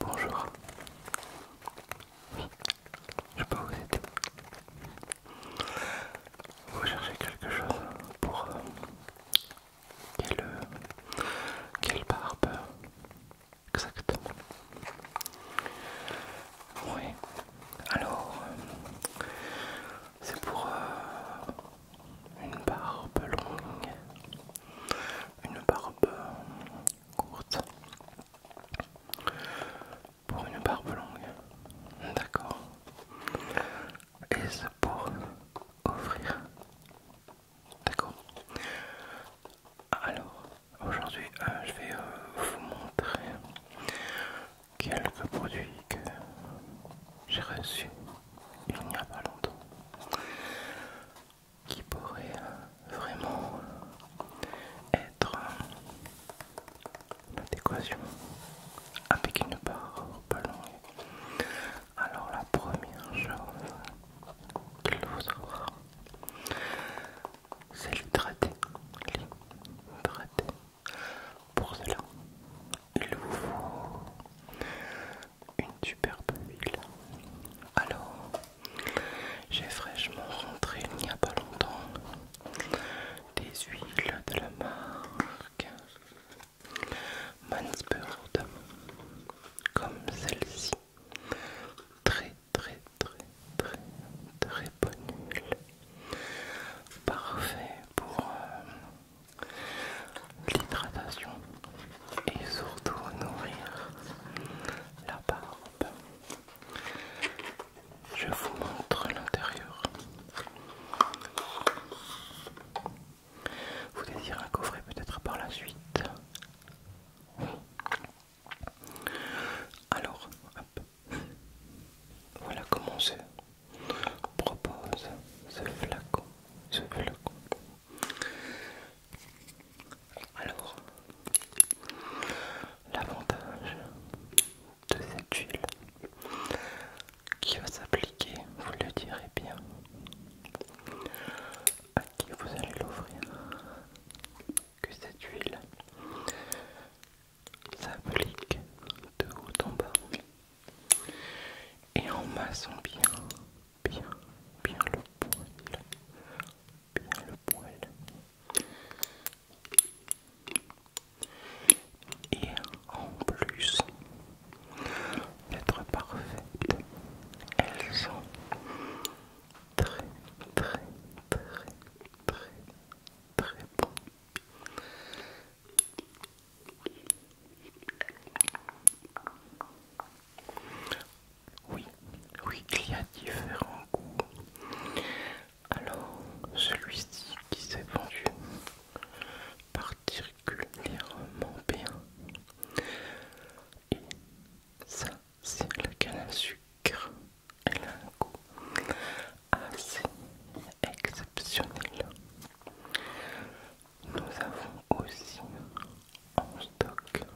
Bonjour, je peux vous aider. Vous cherchez quelque chose pour euh, quelle, euh, quelle barbe Exactement. Oui. Alors, euh, c'est pour euh, une barbe longue, une barbe courte. Pour une barbe longue. D'accord. Et c'est pour Ouvrir D'accord Alors, aujourd'hui, euh, je vais euh, vous montrer quelques produits que j'ai reçus il n'y a pas longtemps qui pourraient euh, vraiment être l'adéquation avec une barre pas longue. Alors la première chose qu'il faut savoir, c'est Le traité. Pour cela, il vous faut une superbe huile. Alors, j'ai fraîchement rentré il n'y a pas longtemps des huiles de la marque Mansburg, comme celle-ci. Très, très, très, très, très bonne Parfait pour euh, l'hydratation et surtout nourrir la barbe. Je vous montre l'intérieur. Vous désirez un coffret peut-être par la suite Alors, voilà comment se propose Ce flacon. Alors, l'avantage de cette huile qui va s'appliquer, vous le direz bien, à qui vous allez l'ouvrir que cette huile s'applique de haut en bas et en massant bien, bien, bien le poil, bien le poil. Et en plus d'être parfaites, elles sont très très très très très bonnes. Oui, oui, il y a différents goûts. Alors, celui-ci qui s'est vendu particulièrement bien. Et ça, c'est le canne à sucre. Elle a un goût assez exceptionnel. Nous avons aussi en stock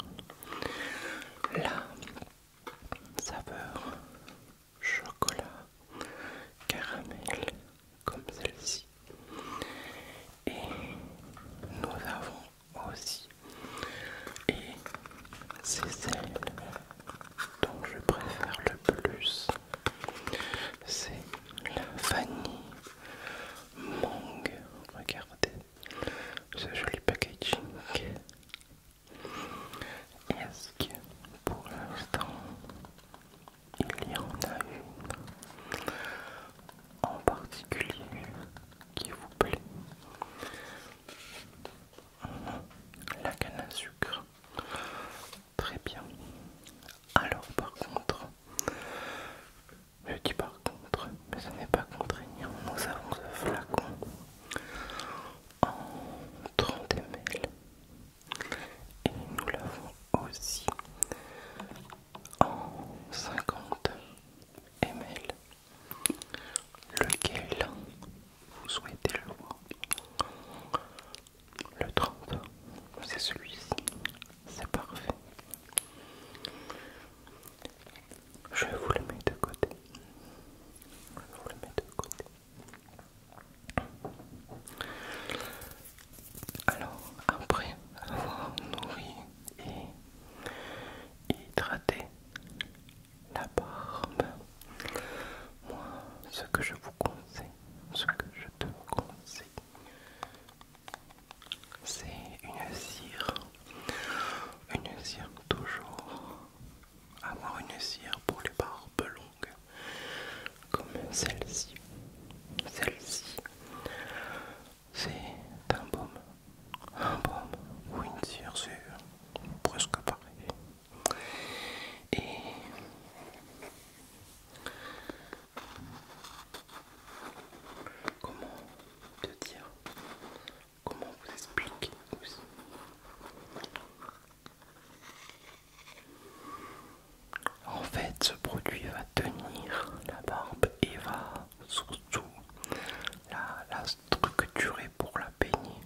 la saveur chocolat caramel comme celle-ci et nous avons aussi et c'est celle dont je préfère le plus c'est la vanille mangue regardez ce joli packaging est-ce que pour l'instant il y en a une en particulier qui vous plaît mhm. La canne à sucre. Très bien. Alors par contre, je dis par contre, mais ce n'est pas contraignant, nous avons ce flacon en 30 ml et nous l'avons aussi en 50 ml lequel vous souhaitez le voir le 30 c'est celui-ci c'est parfait je vous le mettre de côté je vous le mettre de côté alors, après avoir nourri et hydraté la barbe, moi, ce que je vous conseille, ce que je te conseille, c'est une cire, une cire toujours avoir une cire pour les barbes longues comme celle-ci. Celle-ci, c'est un baume. Un baume ou une cire, c'est presque pareil. Et comment te dire comment vous expliquer, aussi. En fait, ce produit va tenir la barbe et va surtout la, la structurer pour la peigner.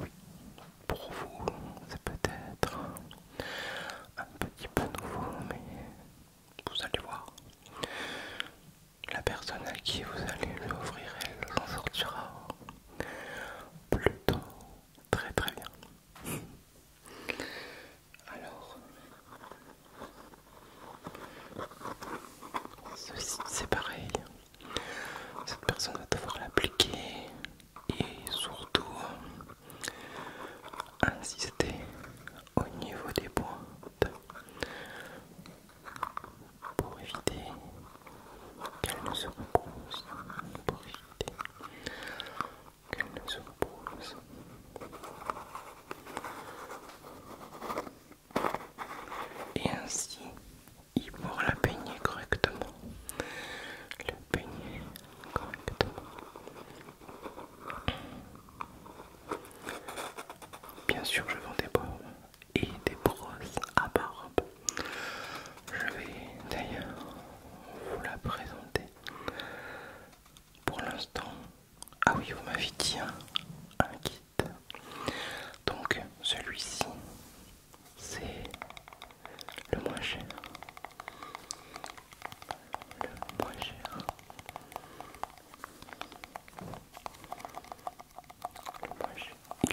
Oui, pour vous, c'est peut-être un petit peu nouveau, mais vous allez voir la personne à qui vous allez l'ouvrir, elle s'en sortira plutôt très très bien. Alors, ceci c'est pareil. Cette personne va devoir l'appliquer et surtout insister au niveau des pointes pour éviter qu'elle ne se repose, pour éviter qu'elle ne se repose. Et ainsi, il pourra la peigner correctement. Le peigner correctement. Bien sûr, je vends des et des brosses à barbe. Je vais d'ailleurs vous la présenter. Pour l'instant, ah oui, vous m'avez dit un, hein, un kit. Donc celui-ci, c'est le moins cher. Le moins cher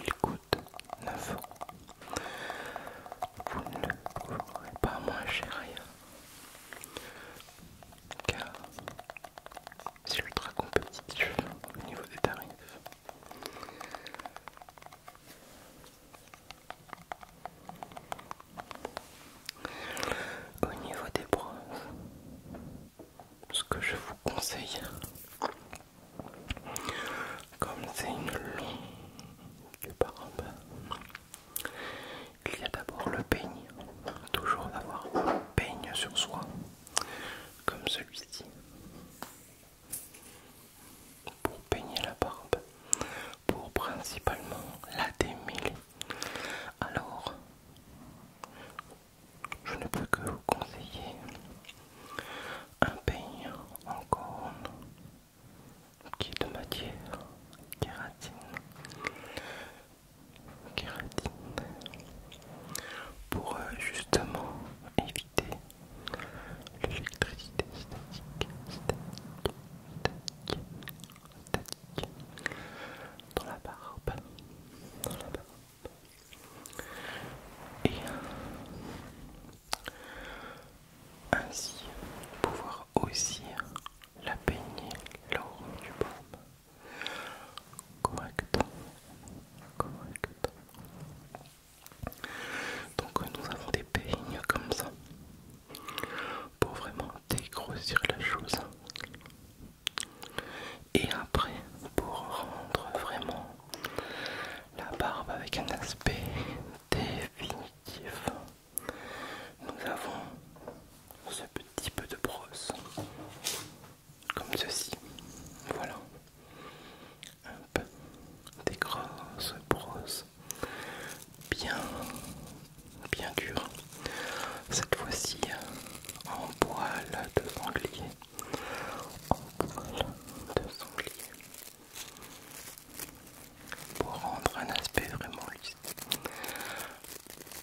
il coûte 9 Vous ne trouverez pas moins cher rien, car c'est ultra compétitif au niveau des tarifs. Au niveau des bronzes, ce que je vous conseille, comme c'est une longue barbe, il y a d'abord le peigne, toujours d'avoir un peigne sur soi, comme celui-ci, pour peigner la barbe, pour principalement la démêler. Alors, je ne peux que vous conseiller un peigne en corne qui est de matière kératine. kératine pour euh, justement éviter l'électricité statique dans la barbe. Dans la barbe. Et ainsi pouvoir aussi la peigner lors du baume. Correct. Donc nous avons des peignes comme ça pour vraiment dégrossir la chose. Et après, pour rendre vraiment la barbe avec un aspect définitif, nous avons ce petit peu de brosse, comme ceci. Voilà, un peu des grosses brosses bien bien dur, cette fois-ci en poil de sanglier, en poil de sanglier, pour rendre un aspect vraiment lisse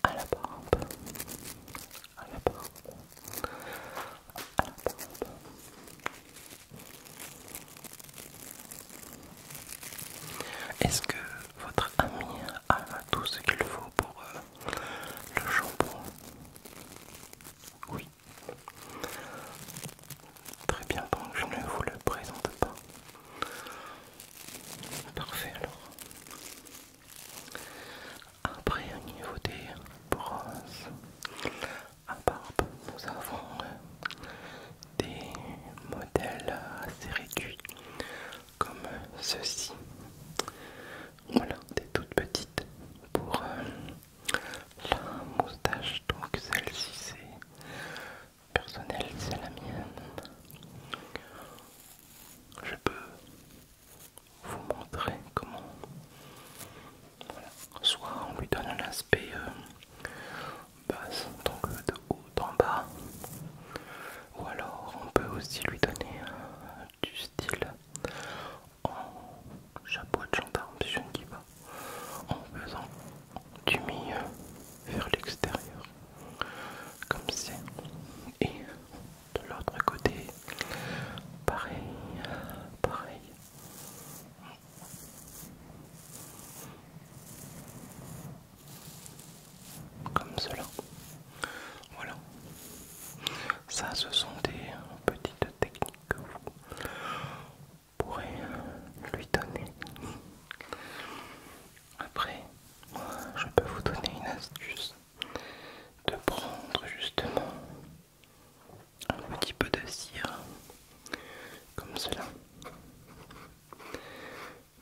à la barbe, à la barbe, à la barbe. Est-ce que votre ami a tout ce qu'il faut pour euh, le shampoing. Oui. Très bien, donc je ne vous le présente pas. Parfait alors. Après au niveau des bronzes à barbe, nous avons euh, des modèles assez réduits comme ceci. Voilà, des toutes petites pour euh, la moustache. Donc celle-ci c'est personnel, c'est la mienne. Je peux vous montrer comment. Soit on lui donne un aspect euh, basse, donc euh, de haut en bas. Ou alors on peut aussi lui donner euh, du style en chapeau de gendarme, si je ne dis pas, en faisant du milieu vers l'extérieur, comme c'est. Et de l'autre côté, pareil, pareil comme cela. Voilà. Ça, ce sont des petites techniques que vous pourrez lui donner. Après, je peux vous donner une astuce de prendre justement un petit peu de cire comme cela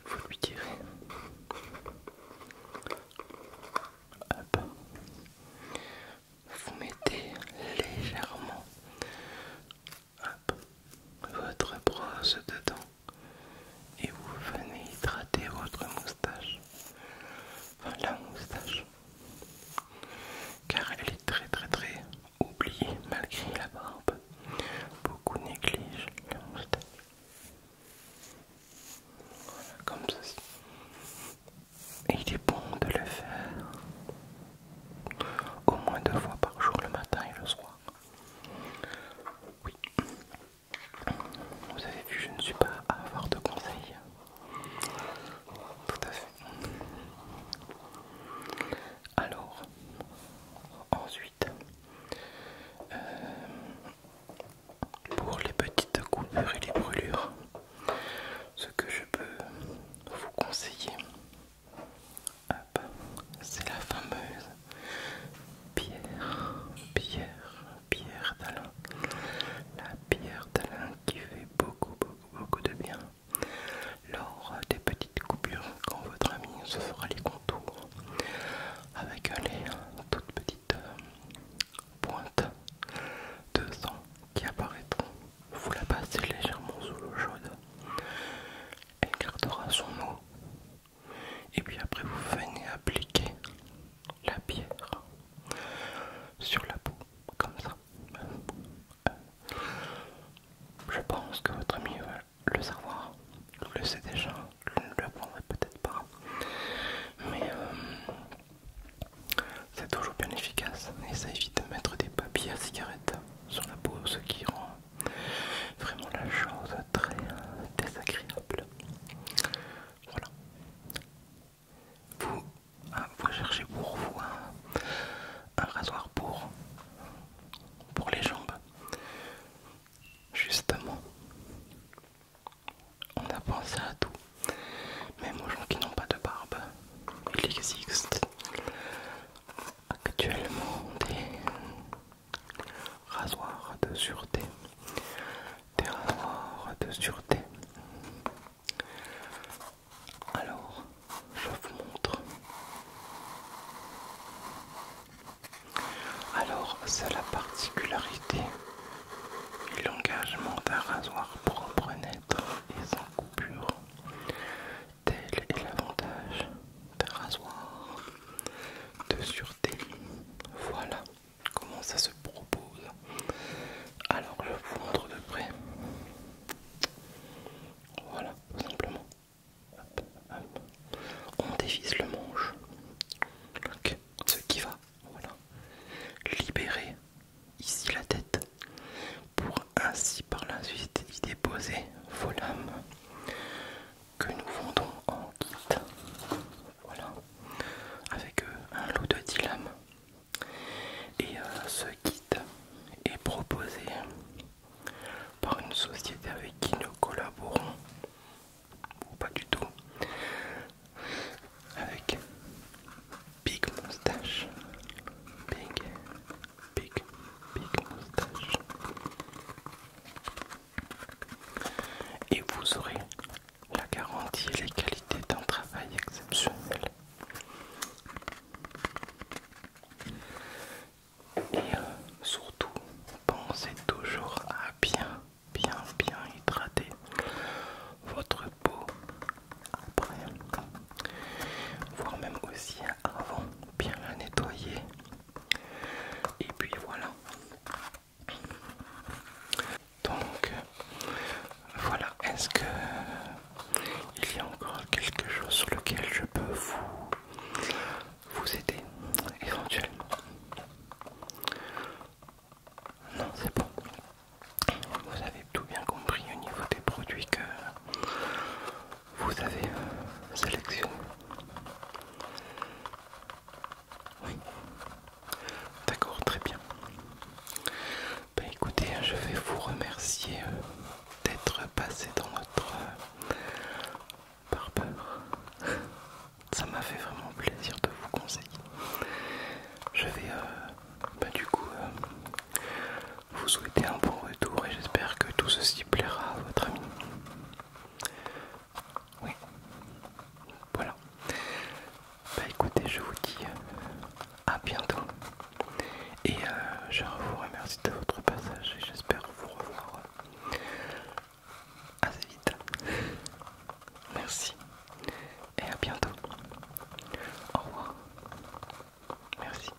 vous lui direz. Vous mettez légèrement votre brosse dedans et vous venez hydrater votre moustache. Enfin, la moustache. Car elle est très très très oublié malgré la barbe. Beaucoup négligent comme ceci. Et il est bon de le faire au moins deux fois par jour, le matin et le soir. Oui. Vous avez vu, je ne suis pas à avoir de conseils. Tout à fait. Alors, ensuite, euh, pour les petites coupures et les brûlures, ce que je peux vous conseiller, c'est la fameuse pierre, pierre, pierre d'Alain. La pierre d'Alain qui fait beaucoup, beaucoup, beaucoup de bien lors des petites coupures quand votre ami se fera les contours avec les toutes petites euh, pointes de sang qui apparaîtront. Vous la passez légèrement sous l'eau chaude. Elle gardera son eau. Et puis après vous venez appliquer la pierre sur la peau comme ça. Je pense que votre ami va le savoir, le sait déjà, vous ne le peut-être pas, mais euh, c'est toujours bien efficace et ça évite de mettre des papiers à cigarette sur la peau, ce qui rend vraiment la chose très euh, désagréable. Voilà. Ah, vous, cherchez pour vous un rasoir pour pour les jambes. Justement, on a pensé à tout, même aux gens qui n'ont pas de barbe. Il existe actuellement des rasoirs de sûreté, des rasoirs de sûreté alors, je vous montre. Alors, c'est la particularité et l'engagement d'un rasoir propre, net et sans coupure. Tel est l'avantage d'un rasoir de sûreté. Voilà comment ça se propose. Alors, je vous montre de près. Voilà, tout simplement. On dévisse le manche. Ce qui va. Libérer ici la tête pour ainsi par la suite y déposer vos lames que nous vendons en kit. Voilà. Avec euh, un lot de 10 lames et euh, ce kit est proposé par une société avec qui nous collaborons, ou pas du tout, avec Big Moustache. Big, big, big moustache. Et vous aurez la garantie et les qualités d'un travail exceptionnel. Et euh, surtout, pensez toujours à bien, bien, bien hydrater votre peau après, voire même aussi avant, bien la nettoyer. Et puis voilà. Donc, voilà, est-ce que il y a encore quelque chose sur lequel je peux vous, aider éventuellement Non, c'est bon. Vous avez tout bien compris au niveau des produits que vous avez euh, sélectionnés. Oui. D'accord, très bien. Bah écoutez, hein, je vais vous remercier euh, d'être passé dans notre peur. Ça m'a fait vraiment plaisir de vous conseiller. Je vais euh, bah, du coup euh, vous souhaiter un bon retour et j'espère que tout ceci plaira à votre ami. Oui. Voilà. Bah écoutez, je vous dis à bientôt. Et euh, je vous remercie de votre passage et j'espère vous revoir euh, assez vite. Merci et à bientôt. Au revoir. Merci.